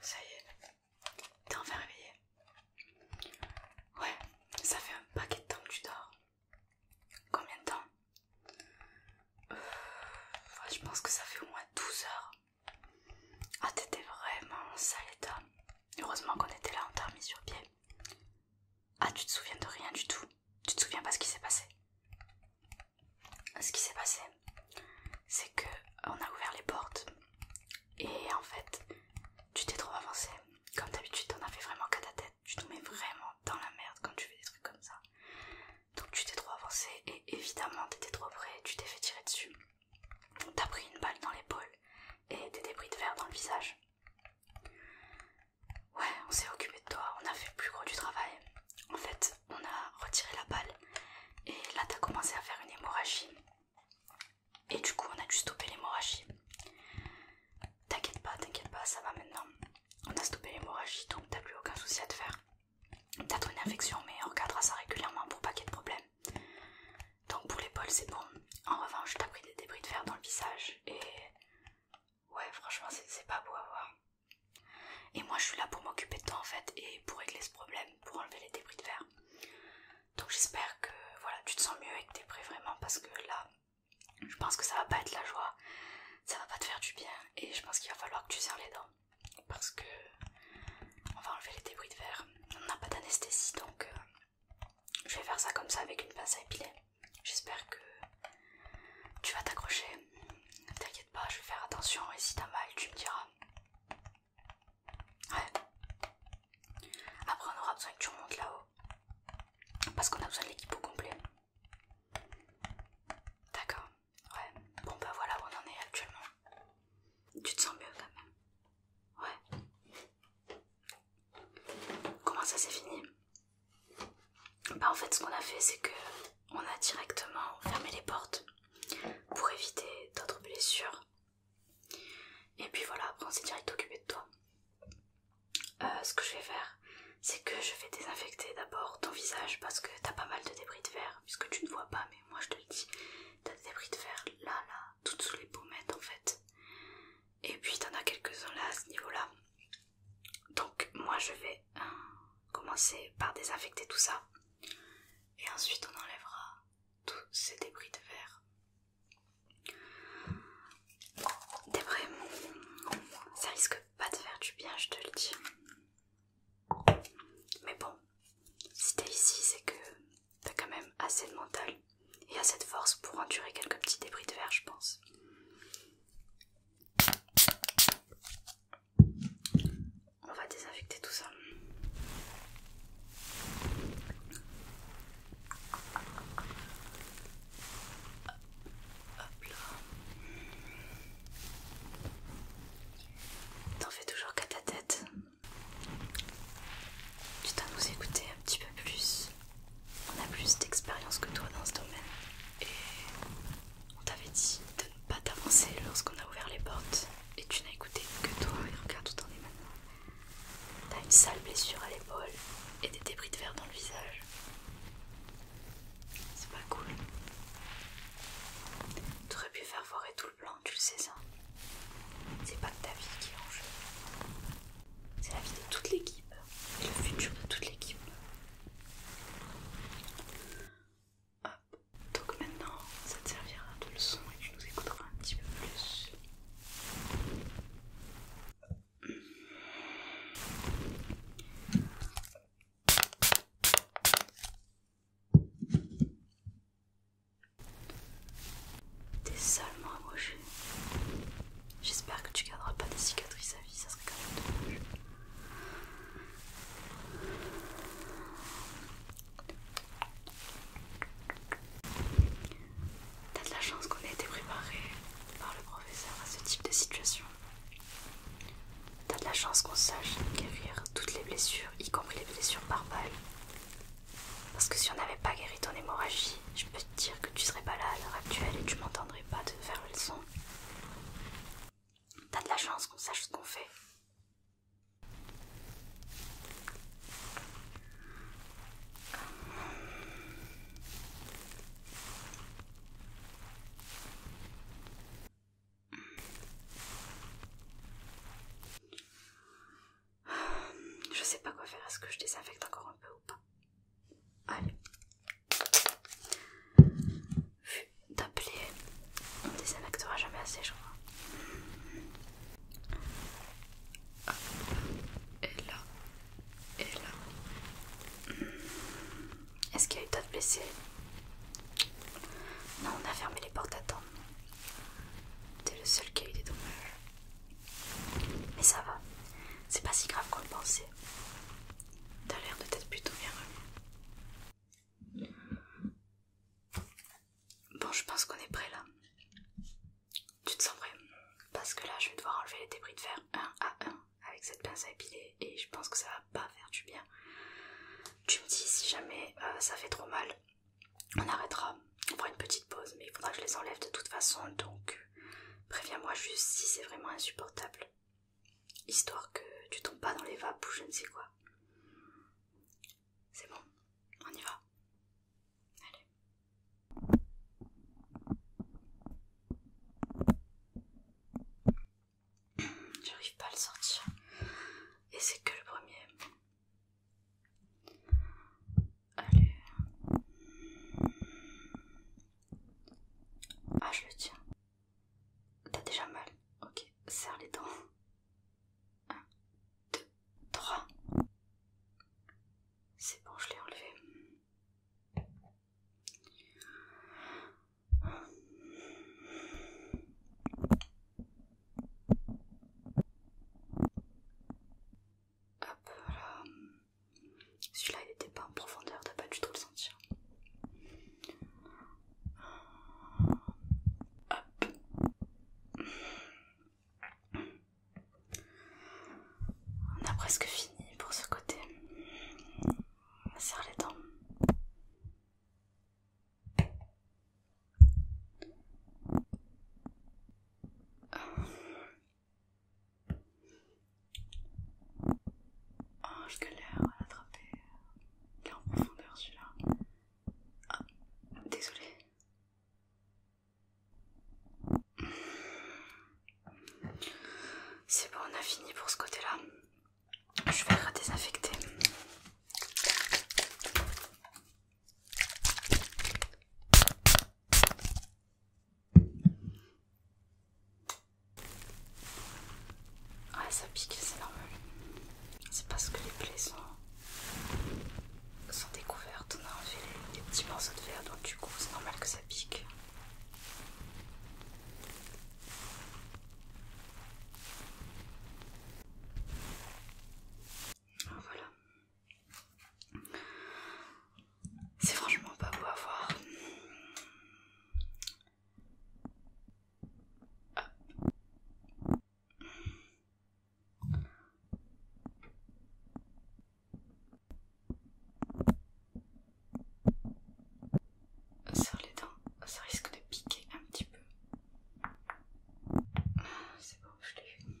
Ça y est, t'es enfin réveillé. Ouais, ça fait un paquet de temps que tu dors. Combien de temps euh, Je pense que ça fait au moins 12 heures. Ah, t'étais vraiment en sale état. Heureusement qu'on était là, on t'a sur pied. Ah, tu te souviens de rien du tout. Tu te souviens pas ce qui s'est passé ce qui s'est passé, c'est que on a ouvert les portes et en fait, tu t'es trop avancé. Comme d'habitude, t'en as fait vraiment qu'à ta tête. Tu te mets vraiment dans la merde quand tu fais des trucs comme ça. Donc tu t'es trop avancé et évidemment, t'étais trop près. Tu t'es fait tirer dessus. T'as pris une balle dans l'épaule et des débris de verre dans le visage. Ouais, on s'est occupé de toi, on a fait le plus gros du travail. En fait, on a retiré la balle et là t'as commencé à faire une hémorragie. Et du coup, on a dû stopper l'hémorragie. T'inquiète pas, t'inquiète pas, ça va maintenant. On a stoppé l'hémorragie donc t'as plus aucun souci à te faire. T'as une infection, mais on regardera ça régulièrement pour pas qu'il y ait de problème. Donc pour l'épaule, c'est bon. En revanche, t'as pris des débris de fer dans le visage et Ouais, franchement, c'est pas beau à voir. Et moi, je suis là pour m'occuper de toi en fait et pour régler ce problème, pour enlever les débris de verre. Donc, j'espère que voilà, tu te sens mieux et que t'es prêt vraiment parce que là, je pense que ça va pas être la joie, ça va pas te faire du bien et je pense qu'il va falloir que tu serres les dents parce que on va enlever les débris de verre. On n'a pas d'anesthésie donc euh, je vais faire ça comme ça avec une pince à épiler. J'espère que tu vas t'accrocher. ne T'inquiète pas, je vais faire attention et si t'as mal, tu me diras. Ouais. Après, on aura besoin que tu remontes là-haut. Parce qu'on a besoin de l'équipe au complet. D'accord. Ouais. Bon, bah voilà où on en est actuellement. Tu te sens mieux quand même. Ouais. Comment ça c'est fini bah en fait ce qu'on a fait c'est que on a directement fermé les portes pour éviter d'autres blessures. Et puis voilà, après on s'est direct occupé de toi. Euh, ce que je vais faire, c'est que je vais désinfecter d'abord ton visage parce que t'as pas mal de débris de verre, puisque tu ne vois pas, mais moi je te le dis, t'as des débris de verre là, là, toutes sous les pommettes en fait. Et puis t'en as quelques-uns là à ce niveau-là. Donc moi je vais euh, commencer par désinfecter tout ça et ensuite on enlèvera tous ces débris de verre. T'es vraiment, ça risque pas de faire du bien, je te le dis. Mais bon, si t'es ici, c'est que t'as quand même assez de mental et assez de force pour endurer quelques petits débris de verre, je pense. On va désinfecter tout ça. T'en fais toujours qu'à ta tête. Tu dois nous écouter un petit peu plus on a plus d'expérience que toi dans ce domaine et on t'avait dit de ne pas t'avancer lorsqu'on a ouvert les portes et tu n'as écouté que toi et regarde où t'en es maintenant. T'as une sale blessure à l'épaule et des débris de verre dans le visage. C'est pas cool. T'aurais pu faire foirer tout le plan, tu le sais ça. C'est pas ta vie qui est en jeu. C'est la vie de toute l'équipe et le futur de toute l'équipe. donc maintenant ça te servira de leçon et tu nous écouteras un petit peu plus. T'es seulement amoureux J'espère que tu garderas pas des cicatrices à vie, ça serait quand même dommage. T'as de la chance qu'on ait été préparé par le professeur à ce type de situation. T'as de la chance qu'on sache guérir toutes les blessures, y compris les blessures par balle. Parce que si on n'avait pas guéri ton hémorragie, je peux dire que tu serais pas là à l'heure actuelle et tu m'entendrais pas te faire le son. T'as de la chance qu'on sache ce qu'on fait. Je sais pas quoi faire, est-ce que je désinfecte encore un peu ou pas Allez. Vu d'appeler, on désinfectera jamais assez, je crois. Ah. et là, et là. Est-ce qu'il y a eu d'autres blessés Non, on a fermé les portes à temps. T'es le seul qui a eu des dommages. Mais ça va, c'est pas si grave qu'on le pensait. T'as l'air de t'être plutôt bien Bon, je pense qu'on est prêt là. Tu te sens prêt Parce que là, je vais devoir enlever les débris de fer un à un avec cette pince à épiler et je pense que ça va pas faire du bien. Tu me dis si jamais euh, ça fait trop mal, on arrêtera on prend une petite pause, mais il faudra que je les enlève de toute façon, donc préviens-moi juste si c'est vraiment insupportable. Histoire que tu tombes pas dans les vapes ou je ne sais quoi. C'est bon, on y va. Allez. J'arrive pas à le sortir. Et c'est que le premier. Allez. Ah, je le tiens. T'as déjà mal. Ok, serre les dents. 1, 2, 3. C'est bon, je l'ai enlevé. Hop, voilà. Celui-là, il n'était pas en profondeur, t'as pas du tout le sentir. Hop. On a presque fini pour ce côté. Serre les dents. Oh, je galère à l'attraper. Il en profondeur celui-là. Ah, désolé. C'est bon, on a fini pour ce côté-là. Je vais désinfecter. Ah ça pique, c'est normal. C'est parce que les plaies sont, découvertes. On a enlevé petits morceaux de verre, donc du coup, c'est normal que ça pique. Ah, voilà, c'est franchement pas beau à voir. Ah. sur les dents, ça risque de piquer un petit peu. Ah, c'est bon, je l'ai vu.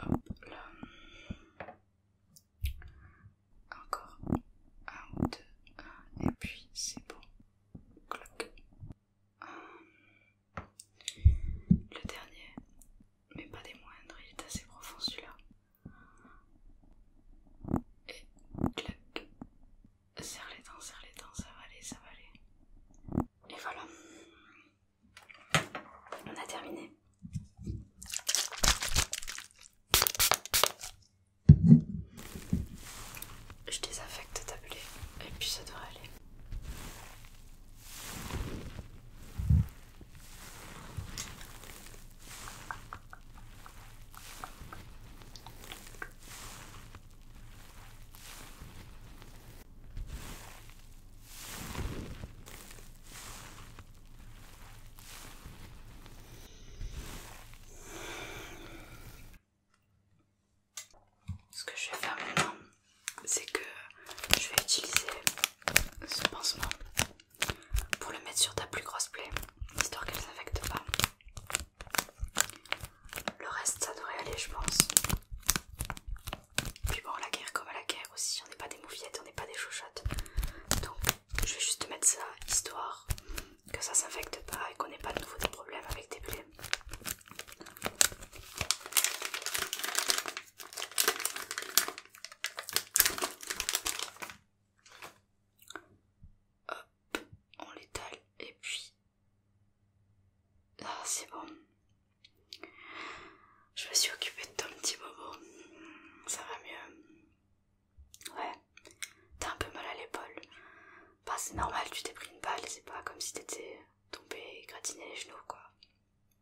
Hop là. Encore un ou deux. et puis c'est bon. Euh, le dernier, mais pas des moindres, il est assez profond celui-là. Et clac. Serre les dents, serre les dents, ça va aller, ça va aller. Et voilà. On a terminé. Je désinfecte ta et puis ça devrait aller. Ce que je vais faire maintenant, c'est que je vais utiliser ce pansement pour le mettre sur ta plus grosse plaie, histoire qu'elle ne s'infecte pas. Le reste, ça devrait aller, je pense. Puis bon, la guerre comme à la guerre aussi, on n'est pas des moufillettes, on n'est pas des chouchottes. Donc je vais juste mettre ça, histoire que ça s'infecte pas et qu'on n'ait pas de nouveau des problèmes avec des plaies. Hop, on l'étale et puis ah, c'est bon. Je me suis occupée de ton petit bobo. Ça va mieux. Ouais, t'as un peu mal à l'épaule. Bah, c'est normal, tu t'es pris une balle, c'est pas comme si t'étais tombé et gratiné les genoux, quoi.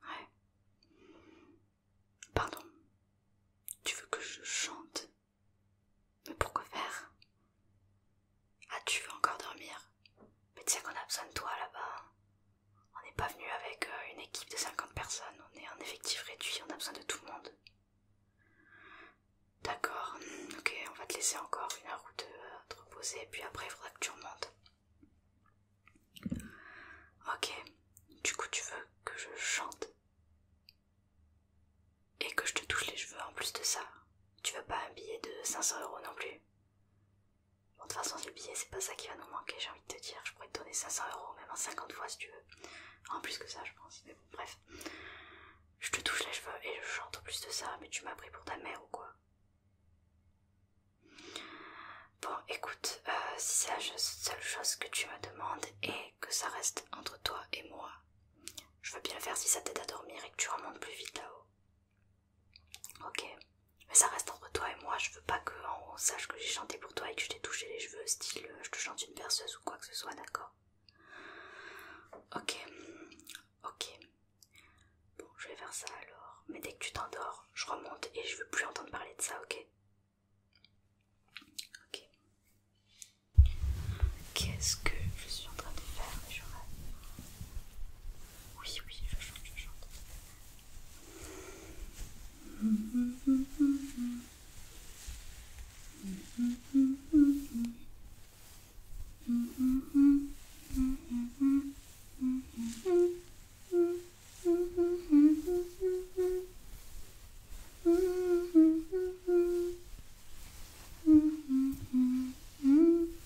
Ouais. Pardon. Tu veux que je chante Mais pourquoi faire ah, tu veux encore dormir Mais tu sais qu'on a besoin de toi là-bas. On n'est pas venu avec euh, une équipe de 50 personnes, on est en effectif réduit, on a besoin de tout le monde. D'accord, ok, on va te laisser encore une heure ou deux à euh, te reposer, et puis après il faudra que tu remontes. Ok, du coup tu veux que je chante et que je te touche les cheveux en plus de ça. Tu veux pas un billet de cents euros non plus Bon, de toute façon, les billets, c'est pas ça qui va nous manquer, j'ai envie de te dire. Je pourrais te donner 500 euros, même en 50 fois si tu veux. En plus que ça, je pense. Mais bon, bref. Je te touche les cheveux et je chante en plus de ça, mais tu m'as pris pour ta mère ou quoi Bon, écoute, euh, si c'est la seule chose que tu me demandes et que ça reste entre toi et moi, je veux bien le faire si ça t'aide à dormir et que tu remontes plus vite là-haut. Ok, mais ça reste entre toi et moi, je veux pas que sache que j'ai chanté pour toi et que je t'ai touché les cheveux, style euh, je te chante une berceuse ou quoi que ce soit, d'accord Ok, ok. Bon, je vais faire ça alors, mais dès que tu t'endors, je remonte et je veux plus entendre parler de ça, ok Ok. Qu'est-ce que je suis en train de faire, Oui, oui, je chante, je chante. Mm-hmm.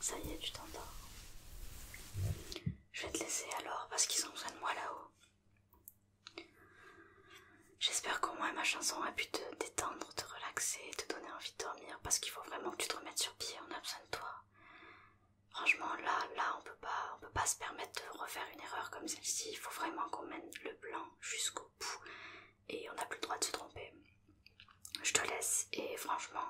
Ça y est, tu t'endors. Je vais te laisser alors parce qu'ils ont besoin de moi là-haut. J'espère qu'au moins ma chanson a pu te détendre, te relaxer te donner envie de dormir parce qu'il faut vraiment que tu te remettes sur pied, on a besoin de toi. Franchement, là, là, on peut pas, on peut pas se permettre de refaire une erreur comme celle-ci. Il faut vraiment qu'on mène le plan jusqu'au bout et on n'a plus le droit de se tromper. Je te laisse et franchement,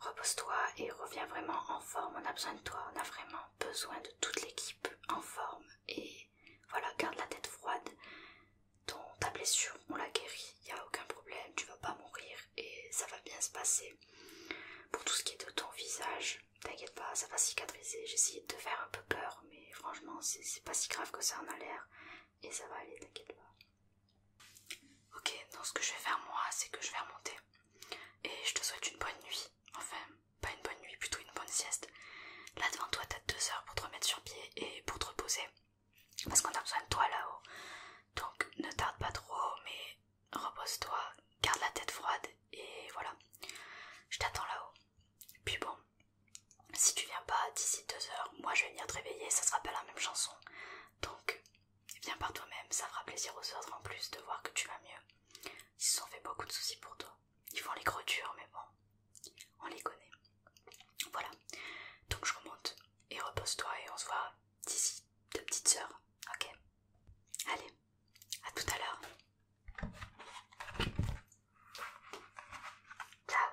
repose-toi et reviens vraiment en forme. On a besoin de toi, on a vraiment besoin de toute l'équipe en forme. Et voilà, garde la tête froide. Ton, ta blessure, on la guérit, il n'y a aucun problème, tu vas pas mourir et ça va bien se passer. Pour tout ce qui est de ton visage, t'inquiète pas, ça va cicatriser. J'ai essayé de te faire un peu peur, mais franchement, c'est pas si grave que ça en a l'air et ça va aller, t'inquiète pas. Ok, donc ce que je vais faire moi, c'est que je vais remonter. Et je te souhaite une bonne nuit. Enfin, pas une bonne nuit, plutôt une bonne sieste. Là devant toi, t'as deux heures pour te remettre sur pied et pour te reposer. Parce qu'on a besoin de toi là-haut. Donc ne tarde pas trop, mais repose-toi, garde la tête froide et voilà. Je t'attends là-haut. Puis bon, si tu viens pas d'ici deux heures, moi je vais venir te réveiller, ça sera pas la même chanson. Donc, viens eh par toi-même, ça fera plaisir aux autres en plus de voir que tu vas mieux. Ils se sont fait beaucoup de soucis pour toi. Ils font les gros durs, mais bon, on les connaît. Voilà, donc je remonte et repose-toi et on se voit d'ici, ta petite sœur, Ok Allez, à tout à l'heure. Ciao